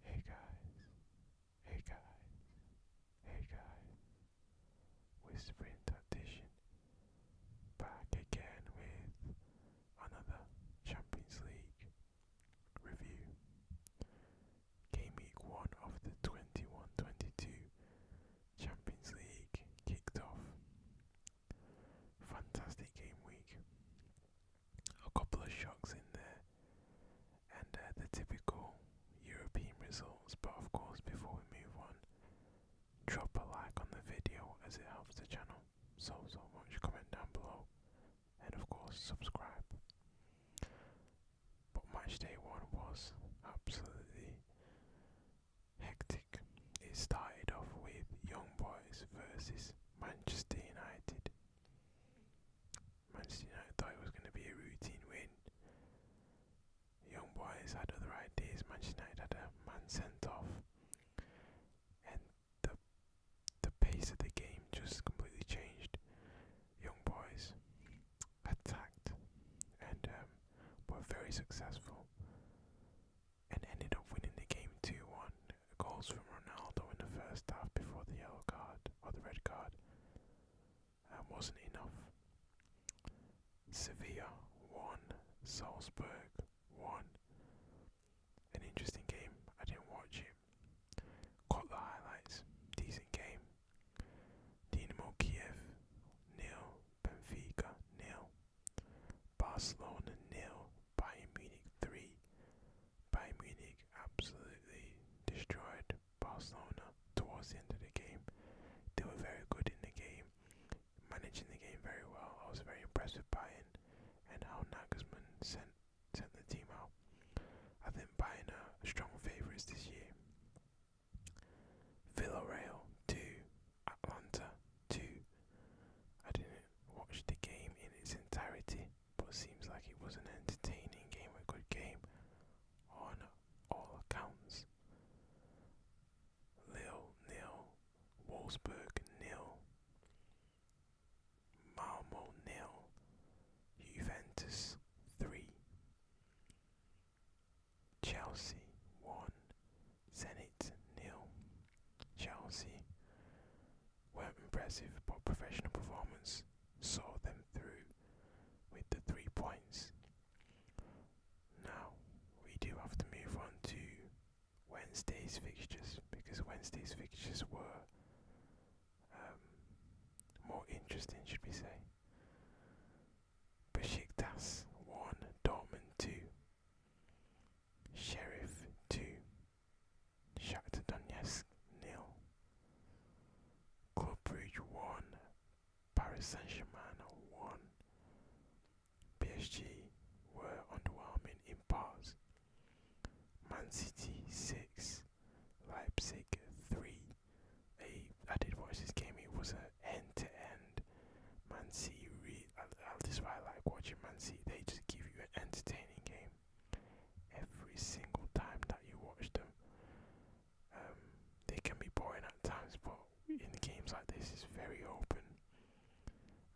Hey guys, hey guys, hey guys, Whispering Tradition back again with another Champions League review. Game week 1 of the 21 22 Champions League kicked off. Fantastic game week a couple of shocks in there, and uh, the typical European results. But of course, before we move on, drop a like on the video as it helps the channel so so much. Comment down below, and of course, subscribe. But match day one was absolutely hectic. It started off with Young Boys versus Manchester United Manchester United thought it was going to be a routine win. Young boys had other ideas. Manchester United had a man sent off, and the the pace of the game just completely changed. Young boys attacked and um, were very successful and ended up winning the game 2 1. Goals from Ronaldo in the first half before the yellow card, or the red card, wasn't enough. Sevilla 1, Salzburg 1. An interesting game, I didn't watch it. Caught the highlights, decent game. Dinamo Kiev nil, Benfica nil. Barcelona nil, Bayern Munich three. Bayern Munich absolutely destroyed Barcelona towards the end of the game. They were very good in the game, managing the game very well. I was very impressed with Bayern and how Nagelsmann sent sent the team out. I think Bayern are strong favourites this year. Villarreal two, Atlanta two. I didn't watch the game in its entirety, but it seems like it was an entertaining game, a good game on all accounts. Lille nil, Wolfsburg nil, Malmo nil, Juventus three. Chelsea won, Zenit nil. Chelsea weren't impressive, but professional performance saw them through with the three points. Now we do have to move on to Wednesday's fixtures because Wednesday's fixtures were um, more interesting, should we say? Besiktas 1, Dortmund 2, Sheriff 2, Shakhtar Donetsk nil, Club Brugge 1, Paris Saint-Germain 1. PSG were underwhelming in parts. Man City 6, Leipzig 3, I I did game. It was an end to end. Man City. I, I, just is like watching Man City. They just give you an entertaining game every single time that you watch them. Um, they can be boring at times, but in games like this, it's very open.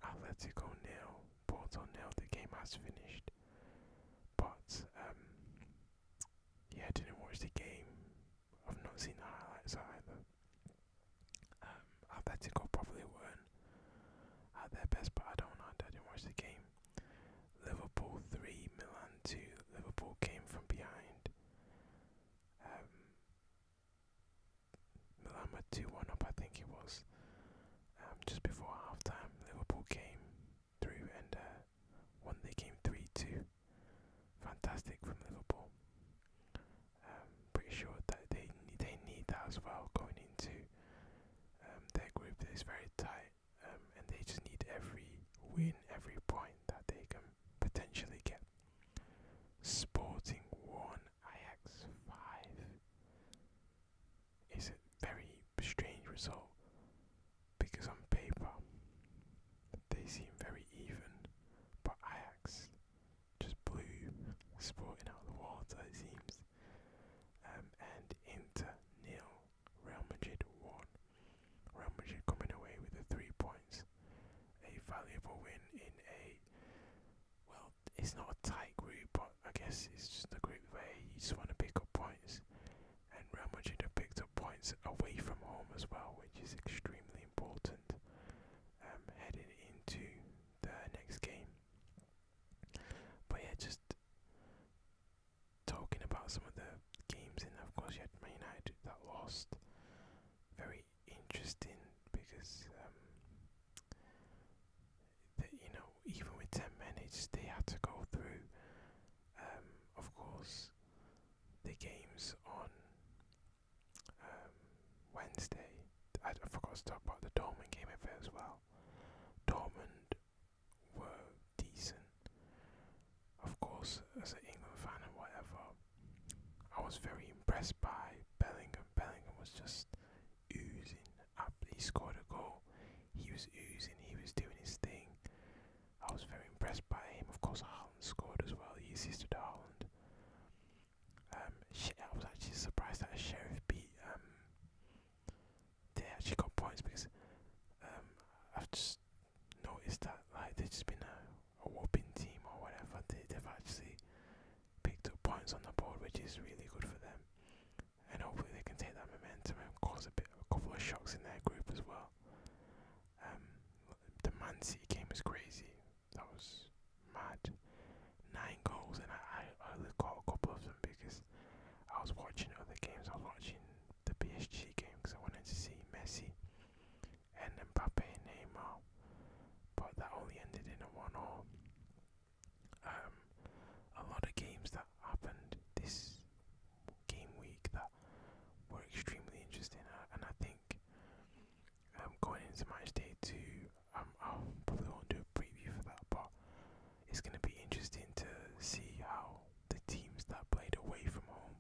Atletico nil, Porto now. The game has finished, but um, yeah, I didn't watch the game. I've not seen the highlights either. I Um, got probably won, not at their best, but I don't know. I didn't watch the game. Liverpool three, Milan two. Liverpool came from behind. Um, Milan were two one up, I think it was. Um, just before half time, Liverpool came through and uh, won the game 3 2. Fantastic from Liverpool. Um, pretty sure that they, they need that as well going into um, their group that is very tight um, and they just need every win, every point that they can potentially get. Sporting 1, Ajax 5. It's a very strange result because on paper they seem very even, but Ajax just blew Sporting out of the water, it seems. Um, and Inter nil, Real Madrid one. Real Madrid coming away with the three points, a valuable win in a well, it's not a tight group, but I guess it's just a group where you just want to pick up points and Real Madrid have picked up points away from home as well, which is extremely important um, heading into the next game. But yeah, just talking about some of the games, and of course you had Man United that lost. Very interesting because um, the, you know even with 10 minutes, they had to go through. Um, of course, the games on um, Wednesday. I, I forgot to talk about the Dortmund game of it as well. Dortmund were decent. Of course, as an England fan and whatever, I was very impressed by Bellingham. Bellingham was just oozing up. He scored a goal. He was oozing. He was doing his thing. I was very impressed by him. Of course, Haaland scored as well. He assisted Haaland. Um, I was actually surprised that Sheriff beat. Um, they actually got points because um, I've just noticed that like they've just been a, a whopping team or whatever. They, they've actually picked up points on the board, which is really good for them and hopefully they can take that momentum and cause a bit, a couple of shocks in their group as well. Um, the Man City game was crazy. That was mad. Nine goals, and I, I caught a couple of them because I was watching other games. I was watching the PSG game because I wanted to see Messi and Mbappe Neymar, but that only ended in a one-all um, a lot of games that happened this game week that were extremely interesting, uh, and I think um, going into match day two, um, I probably won't do a preview for that, but it's going to be interesting to see how the teams that played away from home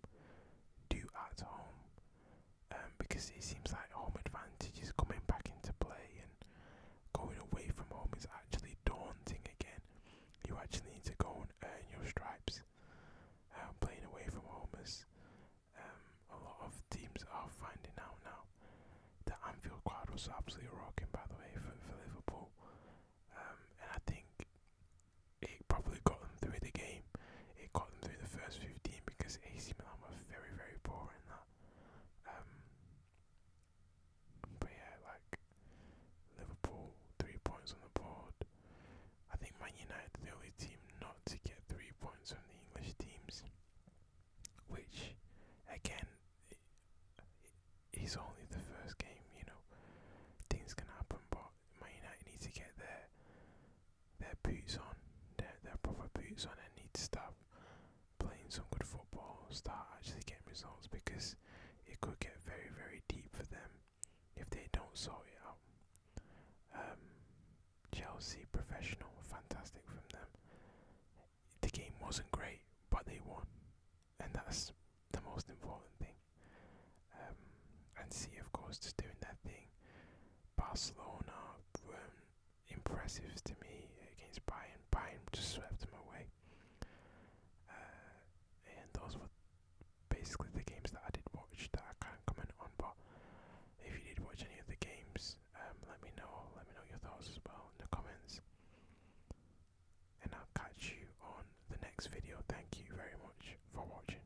do at home, um, because it seems like home advantage is coming back into play, Going away from home is actually daunting again. You actually need to go and earn your stripes. Um, playing away from home is um, a lot of teams are finding out now. The Anfield crowd was absolutely rocking, by the way, for, Liverpool. Um, and I think it probably got them through the game. It got them through the first 15 because AC Milan were very, very poor in that. Um, but yeah, like Liverpool, three points on the board. I think Man United the only team not to get three points from the English teams, which again it's only the first game, you know. Things can happen, but Man United need to get there their boots on, their, their proper boots on, and need to start playing some good football, start actually getting results because it could get very, very deep for them if they don't sort it out. Um, Chelsea professional, fantastic from them. The game wasn't great, but they won, and that's the most important thing. Um, and see, of course, just doing their thing. Barcelona, um, impressive to me against Bayern. Bayern just swept them away. Uh, and those were basically the games that I did watch that I can't comment on. But if you did watch any of the games, um, let me know. Let me know your thoughts as well in the comments. And I'll catch you on the next video. Thank you very much for watching.